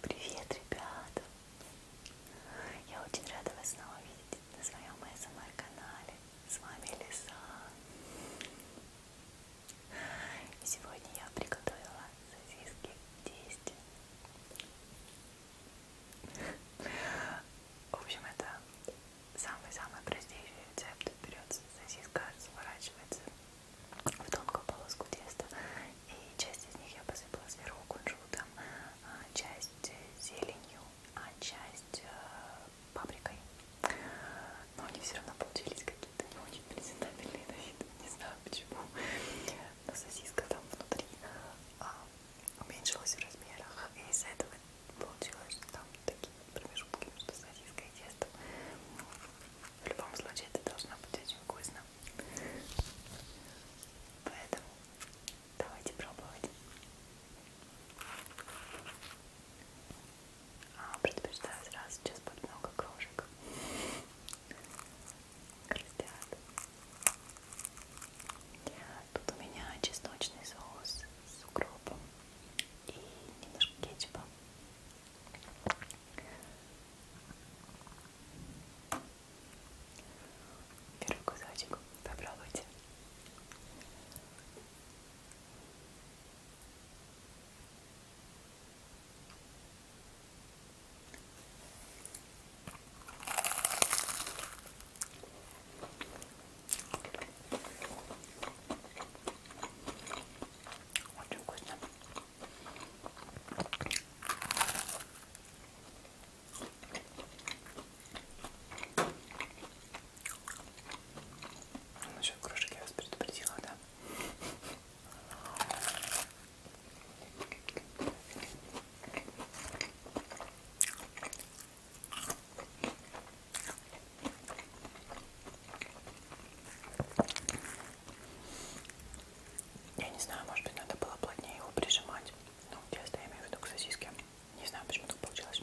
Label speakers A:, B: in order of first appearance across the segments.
A: Привет, ребята! Я очень рада вас снова видеть на своем СМР-канале. Эм С вами Лиса. И сегодня я приготовила сосиски в тесте. В общем, это самый-самый простейший рецепт. Берется сосиска, разворачивается в тонкую полоску теста. И часть из них я посыпала сверху кунжутом, а часть зеленью, а часть э, паприкой. Но они все равно получились какие-то не очень презентабельные на вид. Не знаю почему. Но сосиска там внутри а, уменьшилась в размерах. И из-за этого получилось там такие промежутки между сосиской и тестом. В любом случае это должно быть очень вкусно. Поэтому давайте пробовать. А, предпочитаю сразу сейчас под много крошек. Крестят. Тут у меня чесночный соус с укропом и немножко кетчупа. Первый кусочек попробуйте. Очень вкусно. Насчет кружек я вас предупредила, да? Я не знаю, может быть, надо было плотнее его прижимать. Ну, тесто я имею в виду к сосиске. Не знаю, почему так получилось.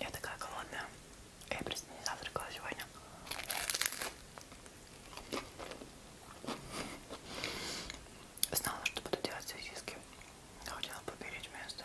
A: Я такая голодная. Я просто не завтракала сегодня. Знала, что буду делать сосиски. Хотела поберечь место.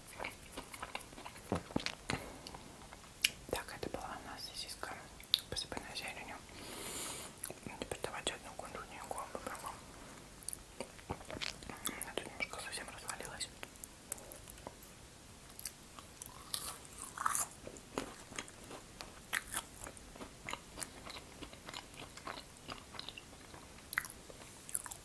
A: Так, это была у нас сосиска, посыпанная зеленью. Теперь давайте одну кундунью попробуем. Она тут немножко совсем развалилась.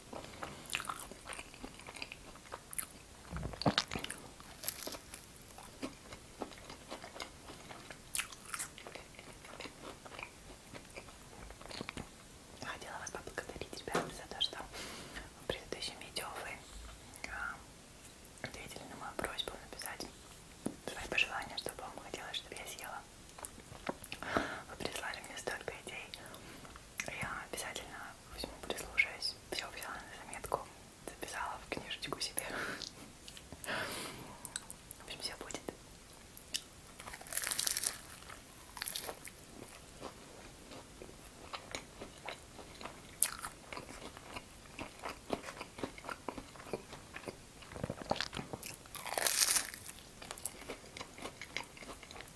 A: Я хотела вас поблагодарить, ребята, за то, что в предыдущем видео вы а, ответили на мою просьбу написать свои пожелания, чтобы вам хотелось, чтобы я съела. Вы прислали мне столько идей. Я обязательно возьму, прислушаюсь, все взяла на заметку, записала в книжечку себе. В общем, все будет.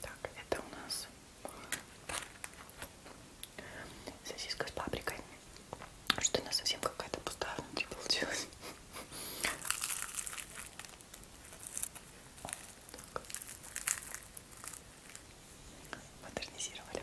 A: Так, это у нас сосиска с паприкой. Что она совсем какая-то пустая внутри получилась. Так. Модернизировали.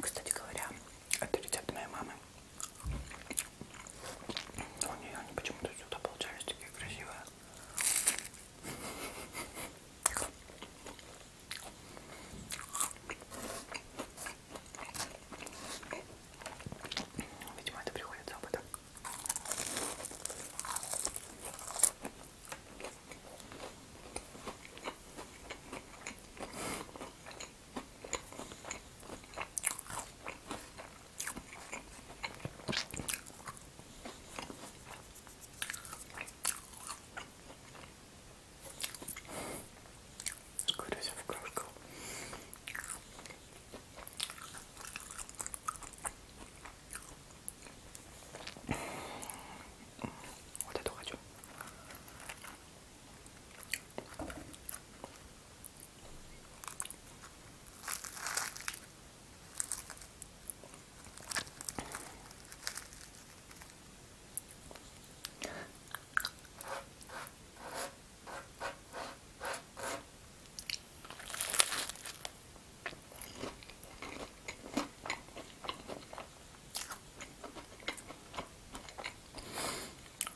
A: Кстати говоря, это рецепт моей мамы. У нее они почему-то сюда получались такие красивые. Видимо, это приходит с опытом. Скорее в кружку. Вот эту хочу.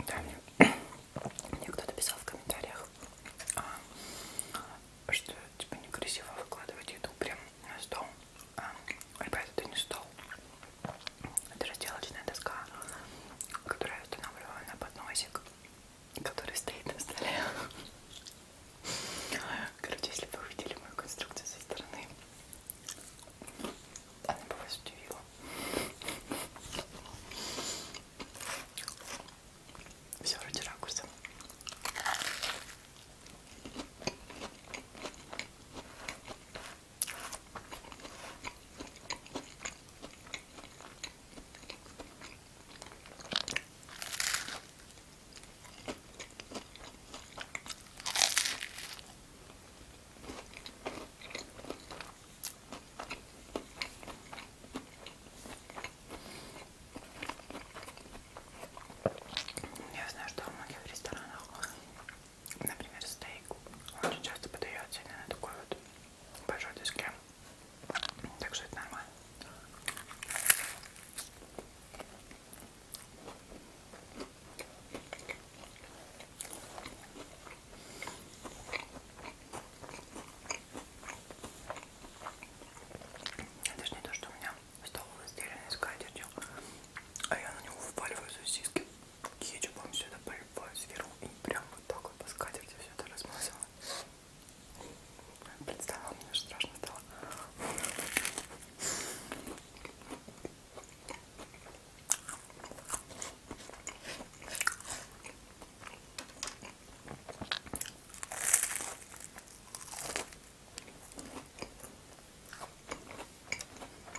A: Да, мне, мне кто-то писал в комментариях, а, что типа некрасиво выкладывать еду прям на стол. А, ребята, это не стол. Это разделочная доска, которую я устанавливаю на подносик, который стоит на столе. Короче, если бы вы видели мою конструкцию со стороны, она бы вас удивила. Все ради ракурса. Я знаю, что в многих ресторанах Например, стейк очень часто подается именно на такой вот большой доске. Так что это нормально. Это же не то, что у меня стол изделие из скатертью, а я на него впаливаю сосиски кетчупом все это полюбовь сверху и прям вот так вот по скатерти все это размазала. Представила, мне уже страшно стало.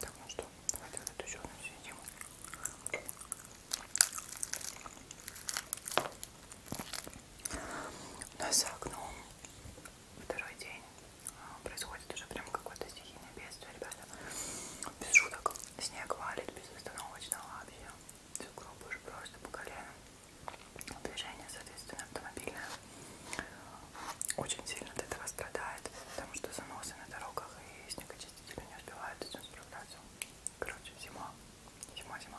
A: Так, ну что, давайте вот эту еще одну съедим. У нас за окном второй день а, происходит уже прям какое-то стихийное бедствие, ребята. Без шуток. Снег валит безостановочно вообще. Сугробы уже просто по колено движение, соответственно, автомобильное очень сильно от этого страдает, потому что заносы на дорогах и снегочистители не успевают с этим справляться. Короче, зима, зима, зима.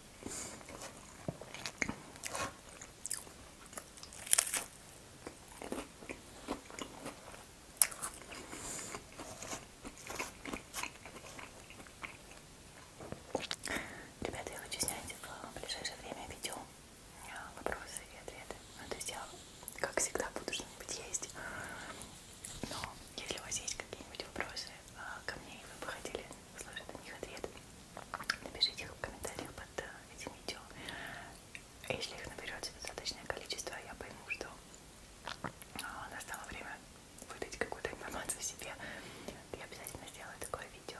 A: Ребята, я хочу снять в ближайшее время видео а, вопросы и ответы. Ну, то есть я, как всегда, буду что-нибудь есть. Но если у вас есть какие-нибудь вопросы а, ко мне, и вы бы хотели услышат на них ответ, напишите их в комментариях под э, этим видео. А если их наберется достаточное количество, я пойму, что а, настало время выдать какую-то информацию о себе. Я обязательно сделаю такое видео.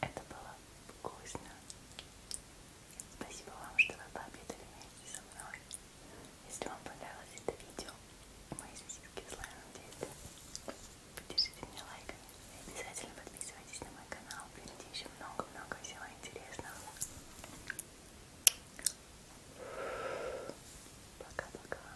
A: Это было вкусно. Спасибо вам, что вы пообедали вместе со мной. Если вам понравилось это видео, мои сосиски с лаймом действия, поддержите меня лайками и обязательно подписывайтесь на мой канал. Впереди еще много-много всего интересного. Пока-пока.